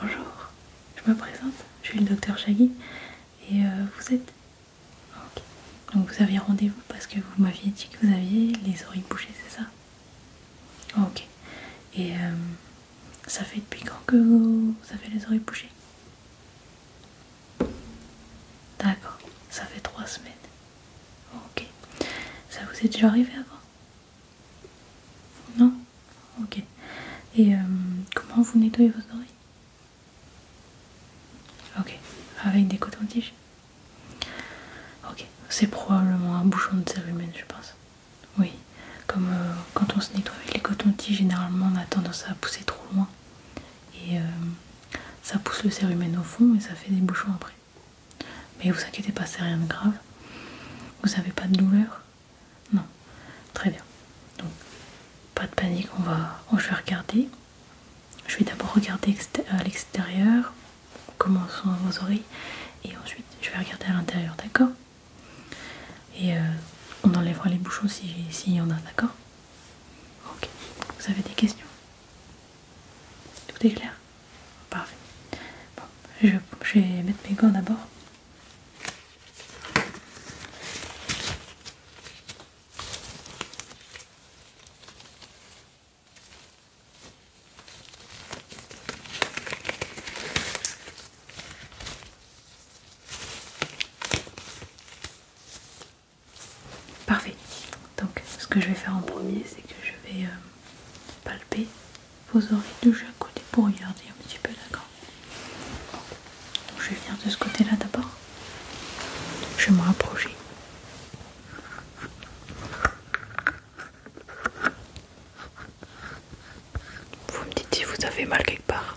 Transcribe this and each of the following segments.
Bonjour, je me présente, je suis le docteur Chagui et euh, vous êtes. donc vous aviez rendez-vous parce que vous m'aviez dit que vous aviez les oreilles bouchées, c'est ça Ok, et euh, ça fait depuis quand que vous avez les oreilles bouchées D'accord, ça fait trois semaines. Ok. Ça vous est déjà arrivé avant Non Ok. Et euh, comment vous nettoyez vos oreilles Ok. Avec des cotons-tiges Ok. C'est probablement un bouchon de serre je pense. Oui. Comme euh, quand on se nettoie avec les cotons-tiges, généralement on a tendance à pousser trop loin. Et euh, ça pousse le cérumen au fond et ça fait des bouchons après. Mais vous inquiétez pas, c'est rien de grave. Vous n'avez pas de douleur Non. Très bien. Donc, pas de panique, on va. je vais regarder. Je vais d'abord regarder à l'extérieur comment à vos oreilles et ensuite je vais regarder à l'intérieur, d'accord Et euh, on enlèvera les bouchons s'il y en a, d'accord Ok. Vous avez des questions tout est clair Parfait. Bon, je, vais mettre mes gants d'abord. Parfait. Donc ce que je vais faire en premier, c'est que je vais euh, palper vos oreilles de chaque côté pour regarder un petit peu, d'accord Je vais venir de ce côté-là d'abord. Je vais me rapprocher. Vous me dites si vous avez mal quelque part.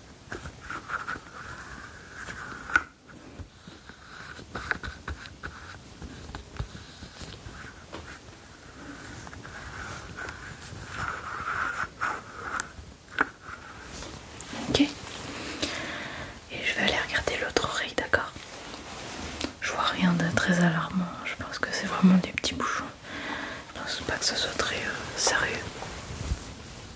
Ok. Et je vais aller regarder l'autre oreille, d'accord Je vois rien de très alarmant. Je pense que c'est vraiment des petits bouchons. Je pense pas que ce soit très euh, sérieux.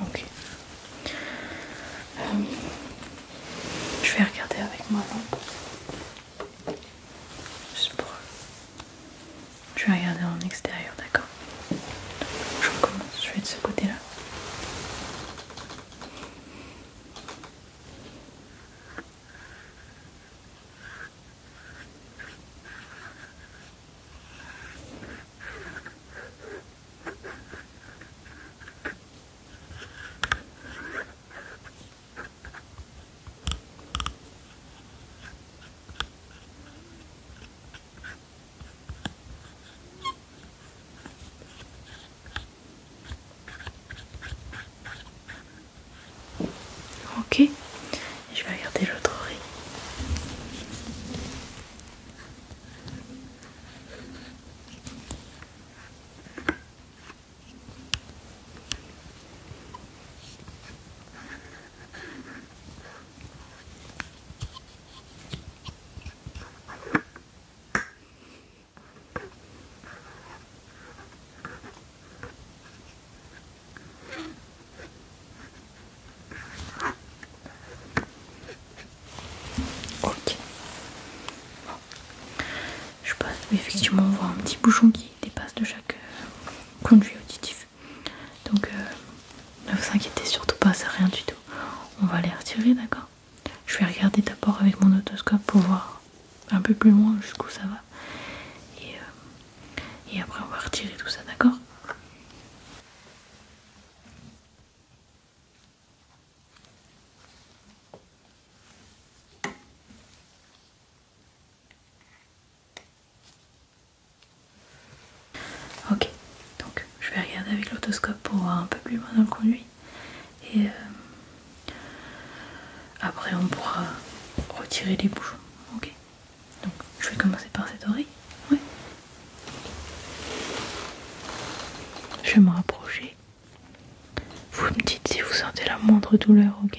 Ok. Euh, je vais regarder avec moi. lampe. Juste pour je vais regarder en extérieur, d'accord Je commence, je vais de ce côté-là. Ok, je vais regarder l'autre oreille. Ok. Je passe, effectivement, on voit un petit bouchon qui dépasse de chaque euh, conduit auditif. Donc euh, ne vous inquiétez surtout pas, c'est rien du tout. On va les retirer, d'accord Je vais regarder d'abord avec mon otoscope pour voir un peu plus loin jusqu'où ça va. Et, euh, et après on va retirer tout ça, d'accord Ok, donc je vais regarder avec l'autoscope pour voir un peu plus loin dans le conduit. Et euh, après on pourra retirer les bouchons. Ok. Donc je vais commencer par cette oreille. Oui. Je vais me rapprocher. Vous me dites si vous sentez la moindre douleur, ok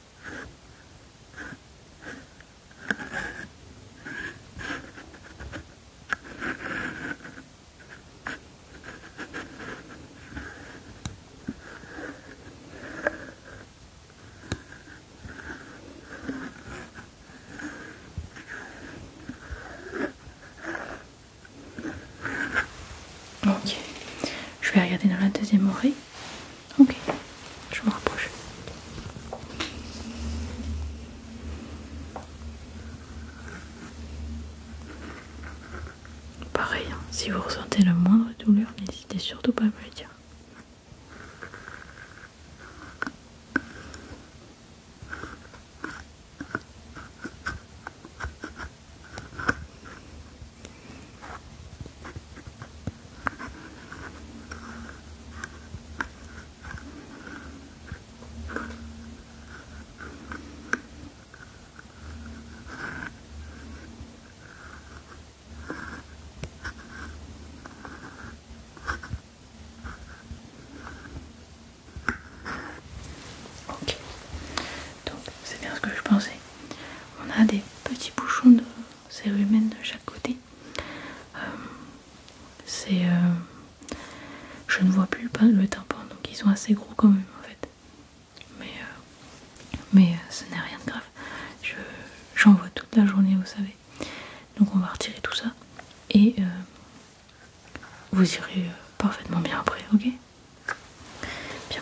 Ok, je vais regarder dans la deuxième oreille. Ok, je me rapproche. Pareil, hein, si vous ressentez la moindre douleur, n'hésitez surtout pas à me le dire. Ok, donc c'est bien ce que je pensais. On a des petits bouchons de cérumen de chaque côté. Euh, c'est, euh, je ne vois plus le tympan, donc ils sont assez gros quand même en fait. Mais, euh, mais ce n'est rien de grave. J'en vois toute la journée, vous savez. Donc on va retirer tout ça et vous irez parfaitement bien après, ok Bien.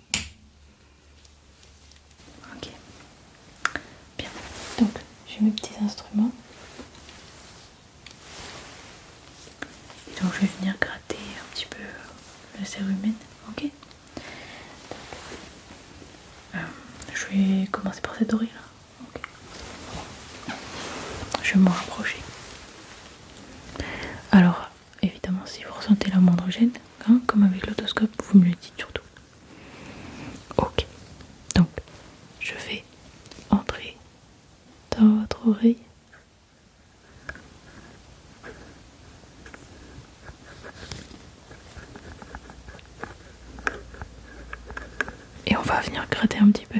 Ok. Bien. Donc, j'ai mes petits instruments. Et donc, je vais venir gratter un petit peu euh, le humaine Ok. Euh, je vais commencer par cette oreille là. Je vais m'en rapprocher. Alors, évidemment, si vous ressentez la moindre gêne, comme avec l'autoscope, vous me le dites surtout. Ok, donc je vais entrer dans votre oreille. Et on va venir gratter un petit peu.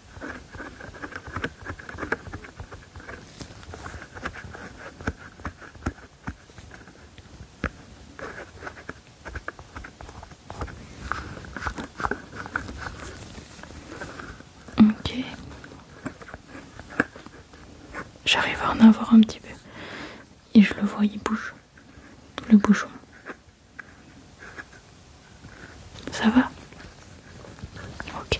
Ok. J'arrive à en avoir un petit peu. Et je le vois, il bouge. Le bouchon. Ça va Ok.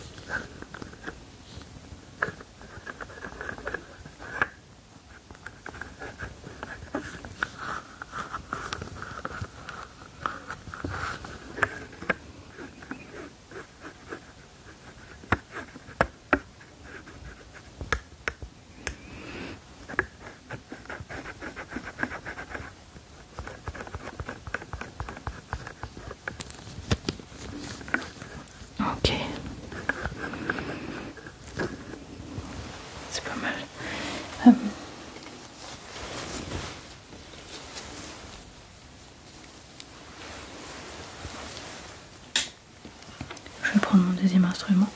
Ok. C'est pas mal. Hum. Je vais prendre mon deuxième instrument.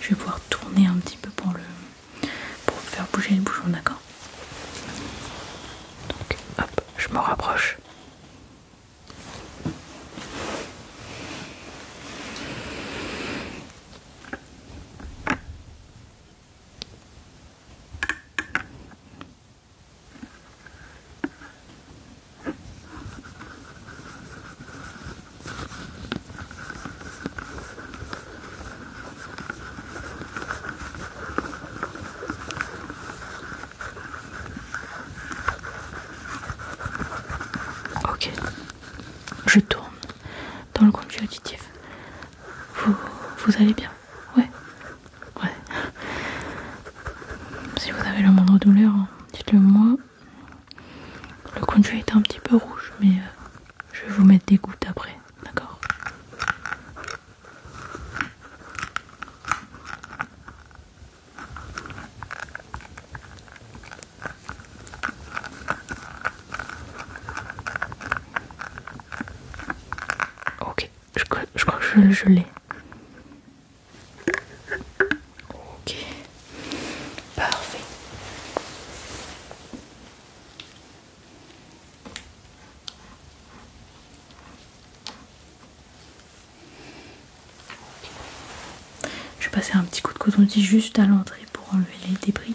Je vais pouvoir tourner un petit peu pour le pour faire bouger le bouchon, d'accord donc, hop, je me rapproche. Ok, je tourne dans le conduit auditif. Vous, allez bien Ouais, ouais. Si vous avez la moindre douleur, hein, dites-le moi. Le conduit est un petit peu rouge, mais euh, je vais vous mettre des gouttes après, d'accord Ok, je, crois que je, je l'ai. Ok, parfait. Je vais passer un petit coup de coton-tige juste à l'entrée pour enlever les débris.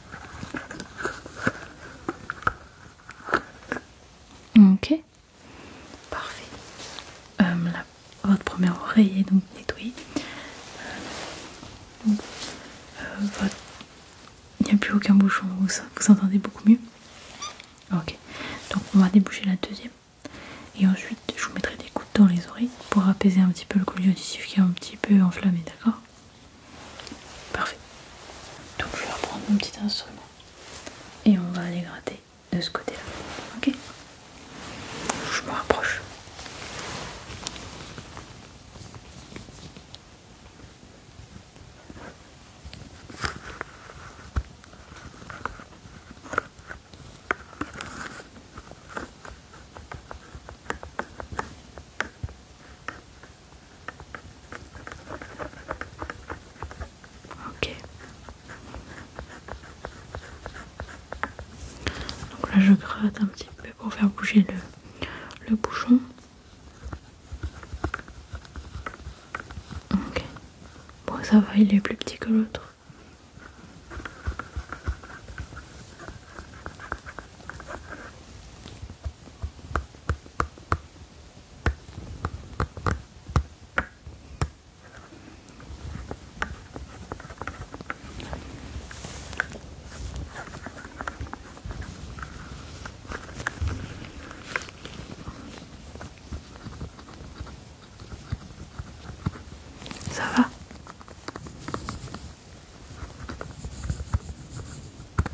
Ok, parfait. Euh, votre première oreille est donc nettoyée. Euh, euh, il n'y a plus aucun bouchon, vous, vous entendez beaucoup mieux. Ok, donc on va déboucher la deuxième. Et ensuite, je vous mettrai des gouttes dans les oreilles pour apaiser un petit peu le collier auditif qui est un petit peu enflammé, d'accord Parfait. Donc je vais reprendre mon petit instrument et on va aller gratter de ce côté-là. Ok Je me rapproche. Ok. Donc là je gratte un petit peu pour faire bouger le, le bouchon. Ok. Bon ça va, il est plus petit que l'autre. Ça va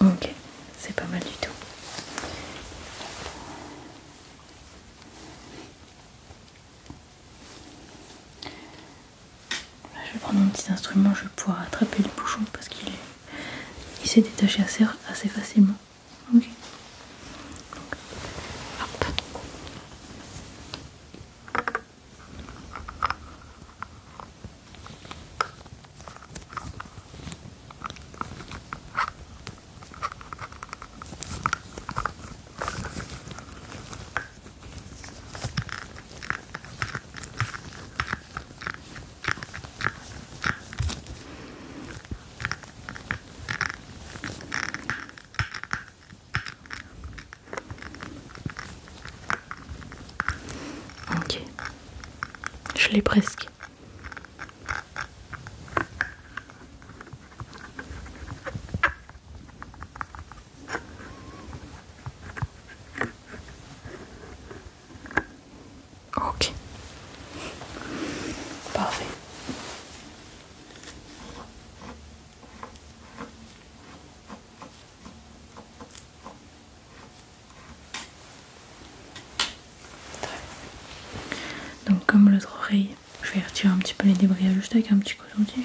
Ok, c'est pas mal du tout. je vais prendre mon petit instrument, je vais pouvoir attraper le bouchon parce qu'il il s'est détaché assez, assez facilement. Ok. Ok, je l'ai presque. Ok. Parfait. Donc comme l'autre oreille, je vais retirer un petit peu les débris juste avec un petit coton-tige.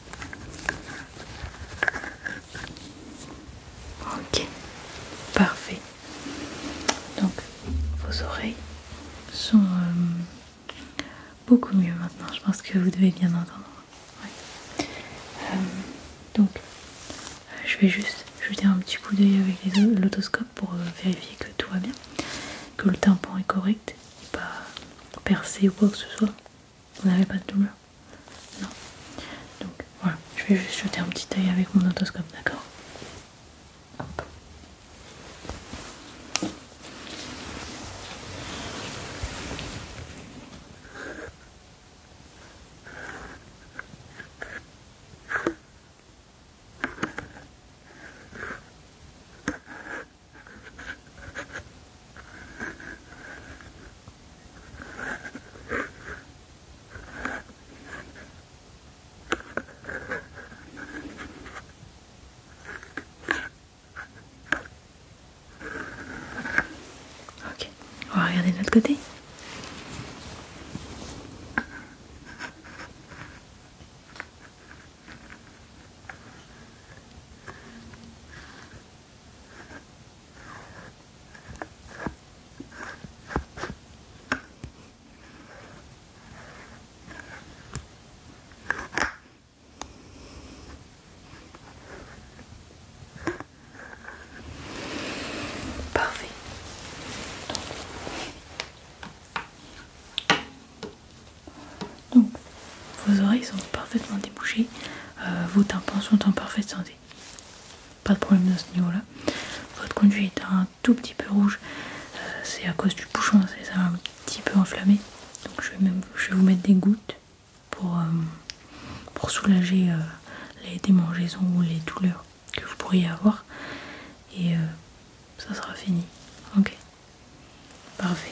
Ok, parfait. Donc vos oreilles sont euh, beaucoup mieux maintenant. Je pense que vous devez bien entendre. Euh, donc euh, je vais juste jeter un petit coup d'œil avec l'autoscope pour vérifier que tout va bien, que le tympan est correct, pas percé ou quoi que ce soit. Vous n'avez pas de douleur Non. Donc voilà, je vais juste jeter un petit œil avec mon otoscope, d'accord Ok, on va regarder de l'autre côté. Parfait. Donc, vos oreilles sont parfaitement débouchées, euh, vos tympans sont en parfaite santé. Pas de problème de ce niveau-là. Votre conduit est un tout petit peu rouge, euh, c'est à cause du bouchon, c'est un petit peu enflammé. Donc je vais, je vais vous mettre des gouttes pour, euh, pour soulager les démangeaisons ou les douleurs que vous pourriez avoir. Et ça sera fini. Ok Parfait.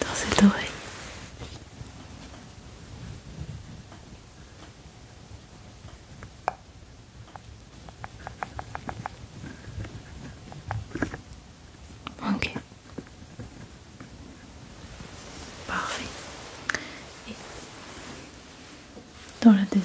dans cette oreille. Ok. Parfait. Et dans la deuxième.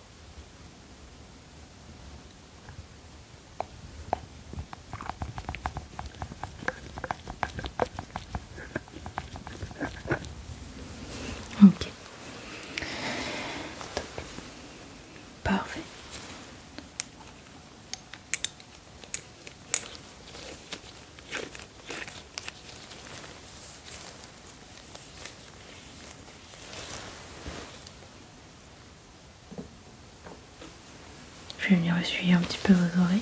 Ok. Parfait. Je vais venir essuyer un petit peu vos oreilles.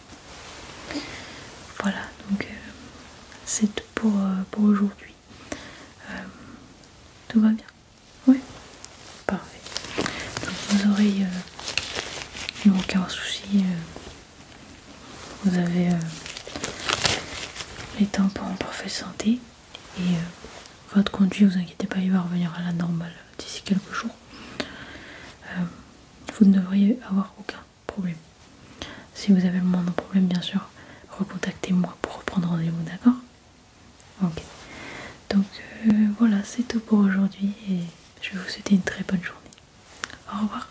Voilà, donc euh, c'est tout pour, euh, pour aujourd'hui. Euh, tout va bien Oui Parfait. Donc vos oreilles n'ont aucun souci. vous avez les tampons en parfaite santé. Et votre conduit, vous inquiétez pas, il va revenir à la normale d'ici quelques jours vous ne devriez avoir aucun problème. Si vous avez le de problème, bien sûr, recontactez-moi pour reprendre rendez-vous, d'accord Ok. Donc euh, voilà, c'est tout pour aujourd'hui et je vais vous souhaiter une très bonne journée. Au revoir.